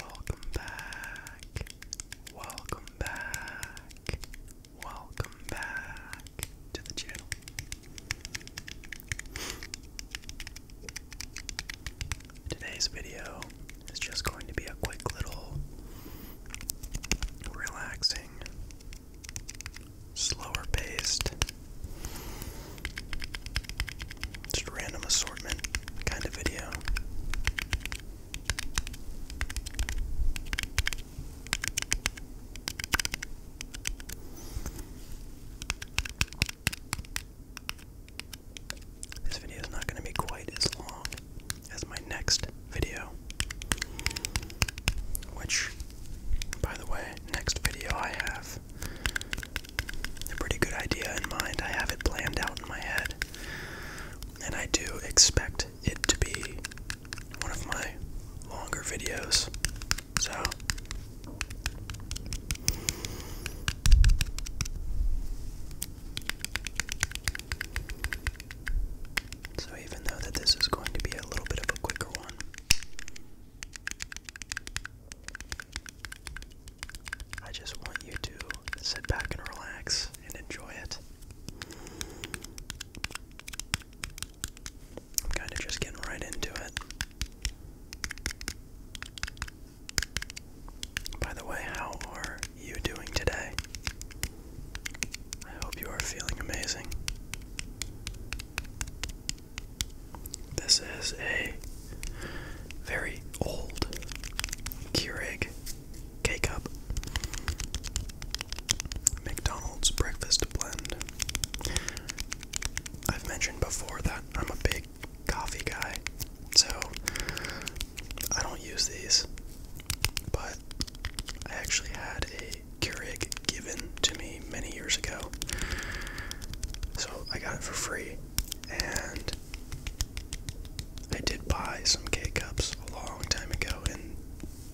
Welcome back. Welcome back. Welcome back to the channel. Today's video is just going to be a quick little relaxing slower paced, just random assortment kind of video. This video is not going to be quite as long as my next video, which, by the way, next video I have a pretty good idea in mind. I have it planned out in my head. And I do expect it to be one of my longer videos. So. So, even though that this is going to be a little bit of a quicker one, I just want you to sit back and relax and enjoy it. I'm kind of just getting right into it. By the way, how are you doing today? I hope you are feeling amazing. This is a very old Keurig K Cup McDonald's breakfast blend. I've mentioned before that I'm a big coffee guy, so I don't use these, but I actually had a Keurig given to me many years ago. So I got it for free. And I did buy some K cups a long time ago, and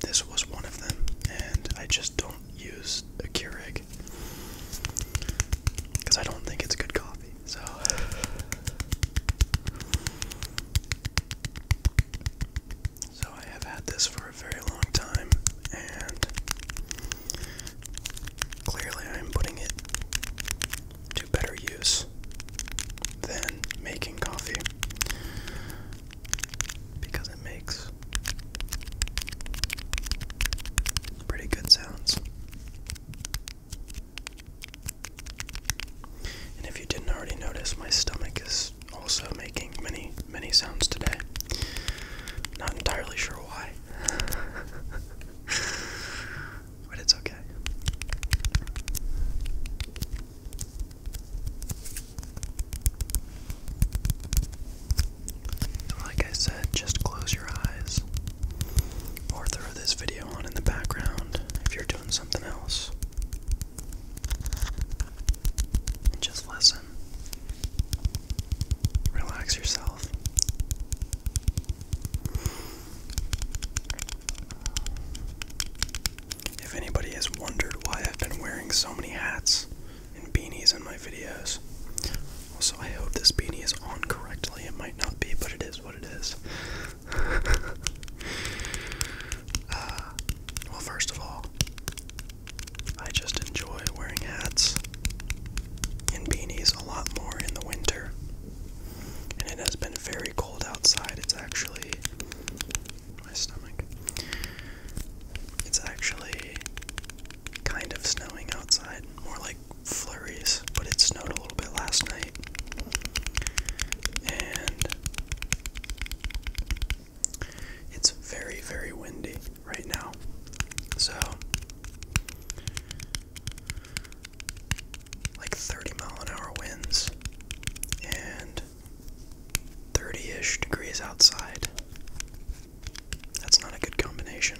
this was one of them. And I just don't use a Keurig because I don't think it's good coffee. So. So I have had this for a very long time, and clearly I'm putting it to better use than making coffee because it makes pretty good sounds. And if you didn't already notice, my stomach is also making many, many sounds today. Not entirely sure why. but it's okay. Like I said, just close your eyes or throw this video on in the background if you're doing something else just listen. Relax yourself. If anybody has wondered why I've been wearing so many hats and beanies in my videos, also I hope this beanie is on correctly. It might not be, but it is what it is. Uh, well, first of all, I just enjoy wearing hats and beanies a lot more in the winter. And it has been very cold outside. It's actually my stomach. It's actually kind of snowing outside, more like flurries, but it snowed a little bit last night. And it's very, very windy right now. So, like 30 mile an hour winds and 30 ish degrees outside. That's not a good combination.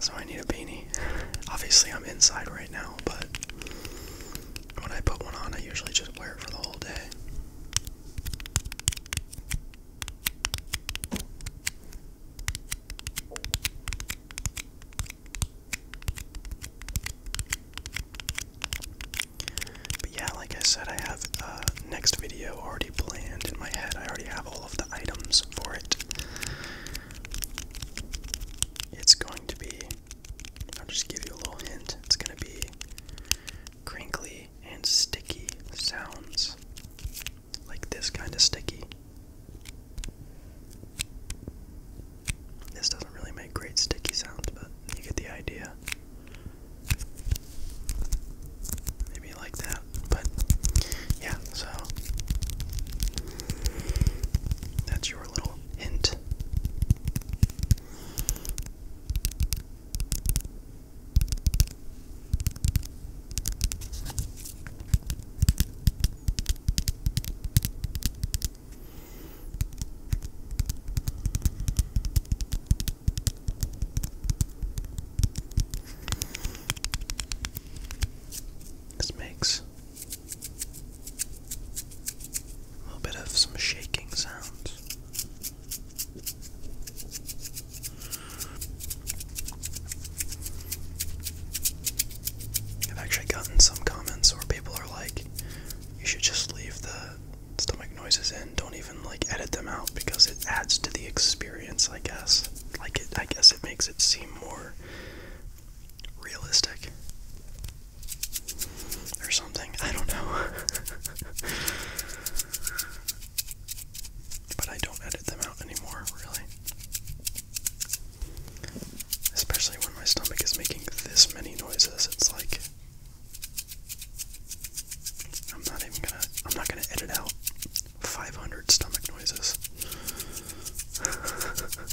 So, I need a beanie. Obviously, I'm inside right now, but when I put one on, I usually just wear it for the whole day. But yeah, like I said, I have a uh, next video already planned in my head. I already have all of the items for it. It's going to be. I'll just give you a little hint. It's going to be crinkly, and sticky sounds. Like this kind of sticky. This doesn't really make great sticky sounds, but you get the idea. Maybe like that, but yeah, so that's your little hint. This makes a little bit of some shaking sounds. I've actually gotten some comments where people are like, you should just leave the stomach noises in, don't even like edit them out because it adds to the experience, I guess. Like it I guess it makes it seem more realistic or something. I don't know. but I don't edit them out anymore, really. Especially when my stomach is making this many noises, it's like I'm not even gonna I'm not gonna edit out 500 stomach noises.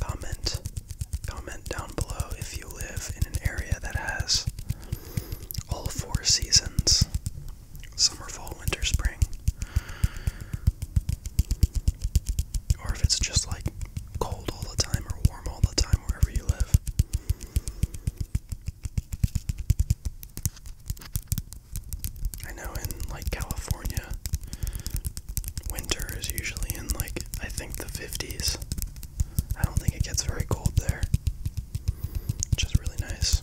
Comment, comment down below if you live in an area that has all four seasons summer, fall, winter, spring. Or if it's just like cold all the time or warm all the time wherever you live. I know in like California, winter is usually in like, I think the 50s. I don't think it gets very cold there, which is really nice.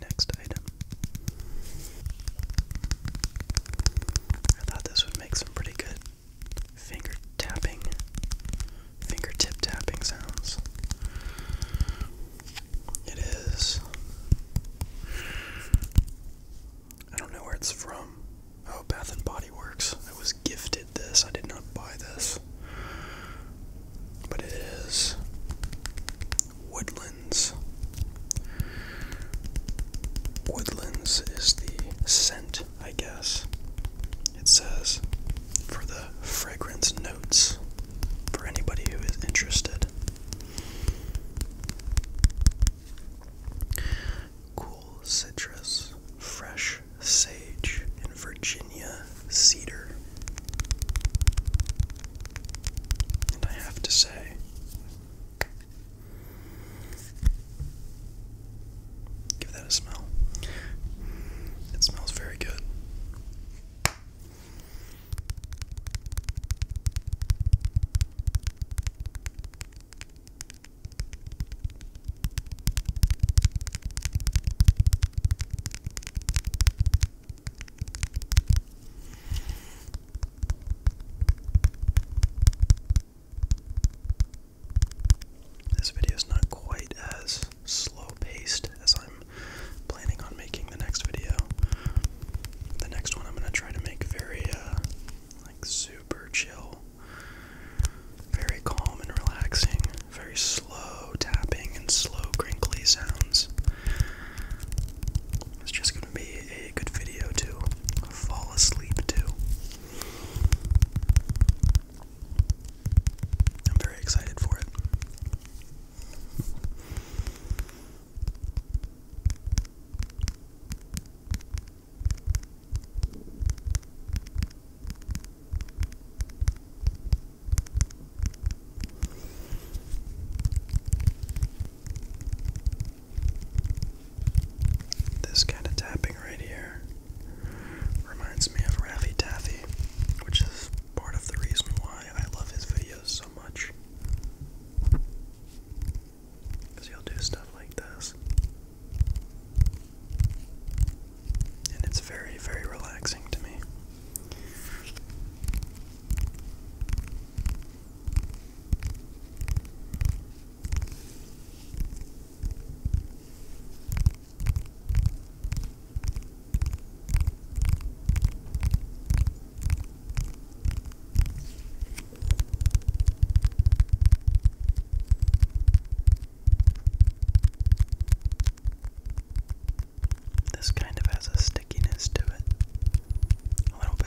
Next item. I thought this would make some pretty good finger tapping, fingertip tapping sounds. It is. I don't know where it's from. Oh, Bath and Body Works. I was gifted this. I did not buy this. But it is Woodlands. Woodlands is the scent, I guess. It says for the fragrance notes for anybody who is interested. Cool citrus, fresh sage, and Virginia cedar. And I have to say, give that a smell. It smells very good. This video is not quite as slow paced as I'm planning on making the next video. The next one I'm going to try to make very, uh, like super chill very calm and relaxing, very slow tapping and slow crinkly sounds. It's just going to be a good video to fall asleep to. I'm very excited for it. This kind of tapping right here reminds me of Raffy Taffy, which is part of the reason why I love his videos so much. Because he'll do stuff like this. And it's very, very relaxing to me. This kind of has a stickiness to it, a little bit.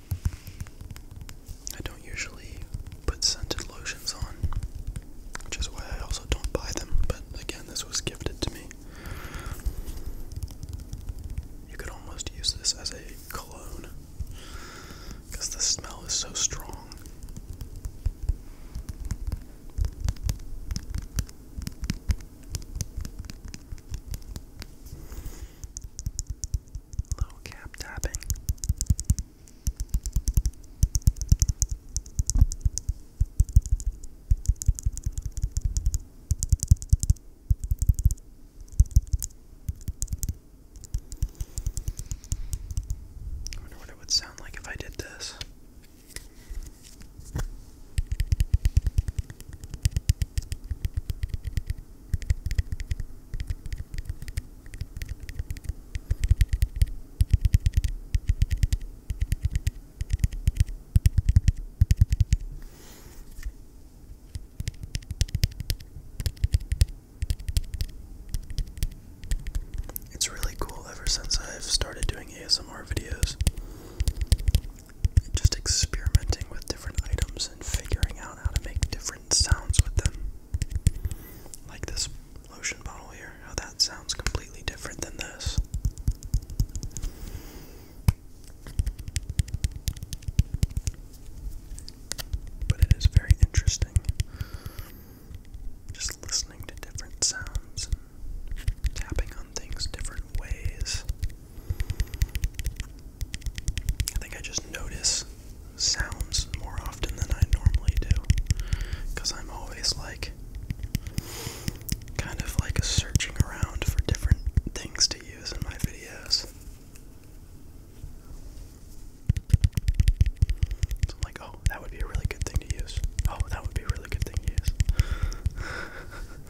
I don't usually put scented lotions on, which is why I also don't buy them, but again, this was gifted to me. You could almost use this as a cologne because the smell is so strong. Little cap tapping. I wonder what it would sound like if I did this. It's really cool ever since I've started doing ASMR videos. Just experimenting with different items and figuring out how to make different sounds with them. Like this lotion bottle here, how that sounds completely different than this. But it is very interesting just listening to different sounds and tapping on things different ways. I think I just notice sounds more often than I normally do. Because I'm always like, kind of like searching around for different things to use in my videos. like, oh, that would be a really good thing to use. Oh, that would be a really good thing to use.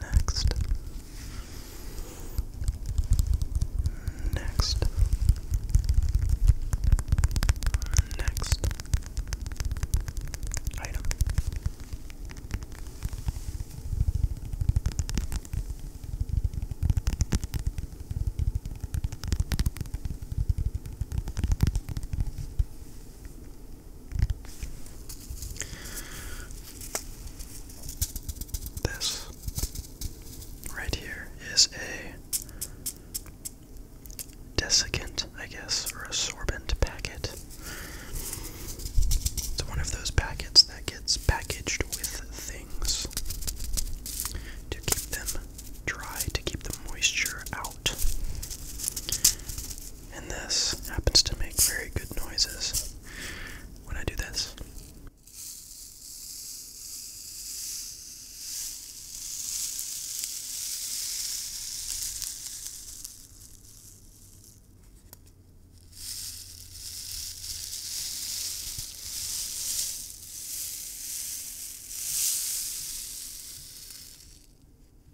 Next. Next. Next. Item. This right here is a desiccant, I guess, or a sorbent packet. It's one of those packets that gets packaged with things to keep them dry, to keep the moisture out. And this happens to make very good noises when I do this.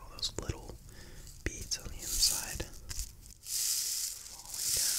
All those little beads on the inside falling down.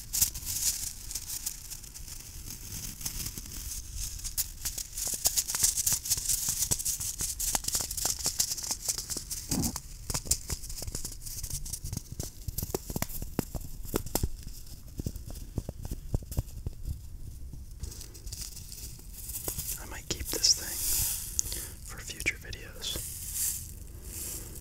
I might keep this thing for future videos.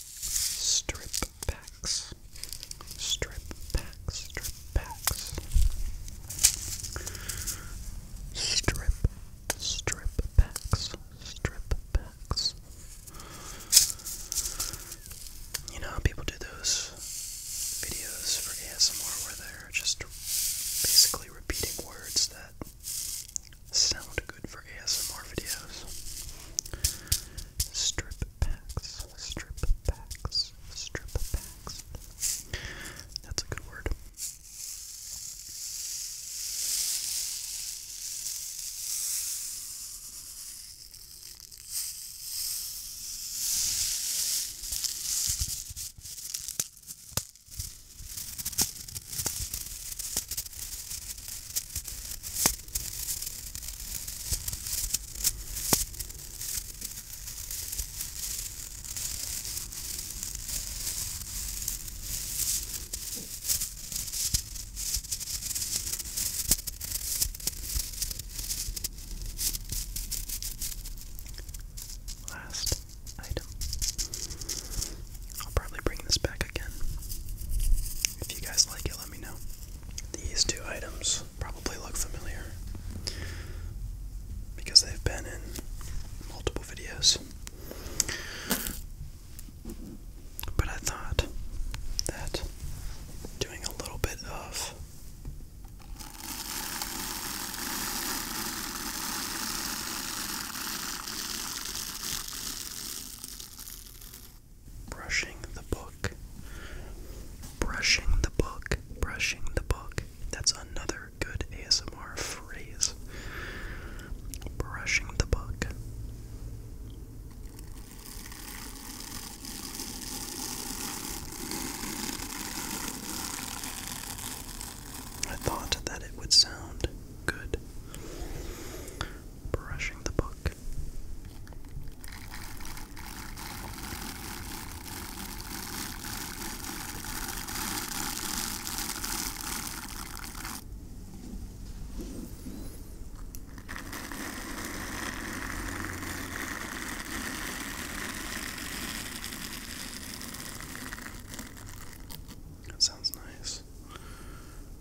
Strip packs. Strip packs. Strip packs. Strip. Strip packs. Strip packs. You know how people do those videos for ASMR where they're just basically repeating words that sound good for ASMR videos. Strip packs, strip packs, strip packs. That's a good word. Last item. I'll probably bring this back again if you guys like it, let me know. These two items probably look familiar because they've been in multiple videos. But I thought that doing a little bit of brushing the book. Brushing the book. Brushing the book. That's another good ASMR phrase. Brushing the book. I thought that it would sound good brushing the book. sounds nice.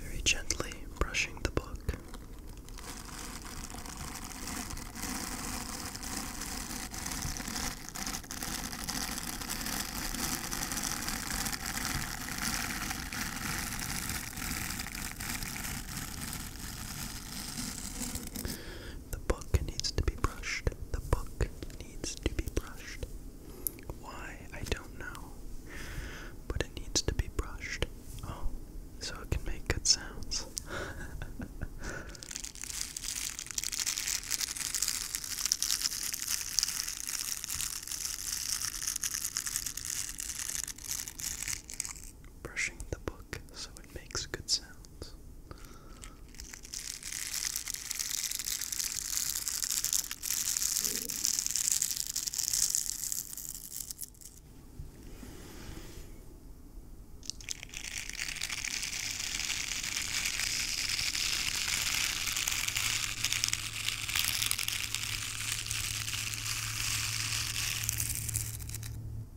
Very gently brushing the book. The book needs to be brushed. The book needs to be brushed. Why? I don't know. But it needs to be brushed. Oh, so it can make good sounds. brushing the book so it makes good sounds.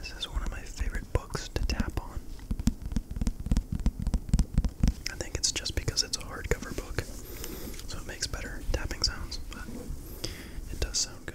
This is one of my favorite books to tap on. I think it's just because it's a hardcover book, so it makes better tapping sounds, but it does sound good.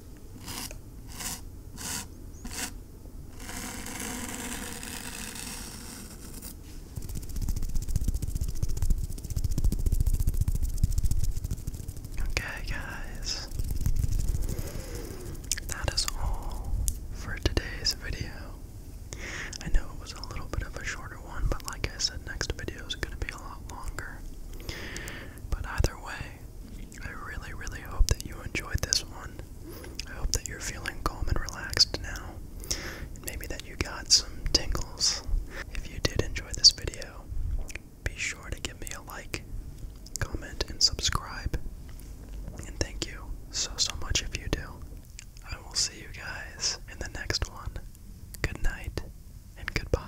Okay, guys, that is all for today's video. I know it was a little bit of a shorter one, but like I said, next video is going to be a lot longer. But either way, I really, really hope that you enjoyed this one. I hope that you're feeling calm and relaxed now. And maybe that you got some tingles. If you did enjoy this video, be sure to give me a like, comment, and subscribe. And thank you so, so much if you do. I will see you guys in the next one. Good night and goodbye.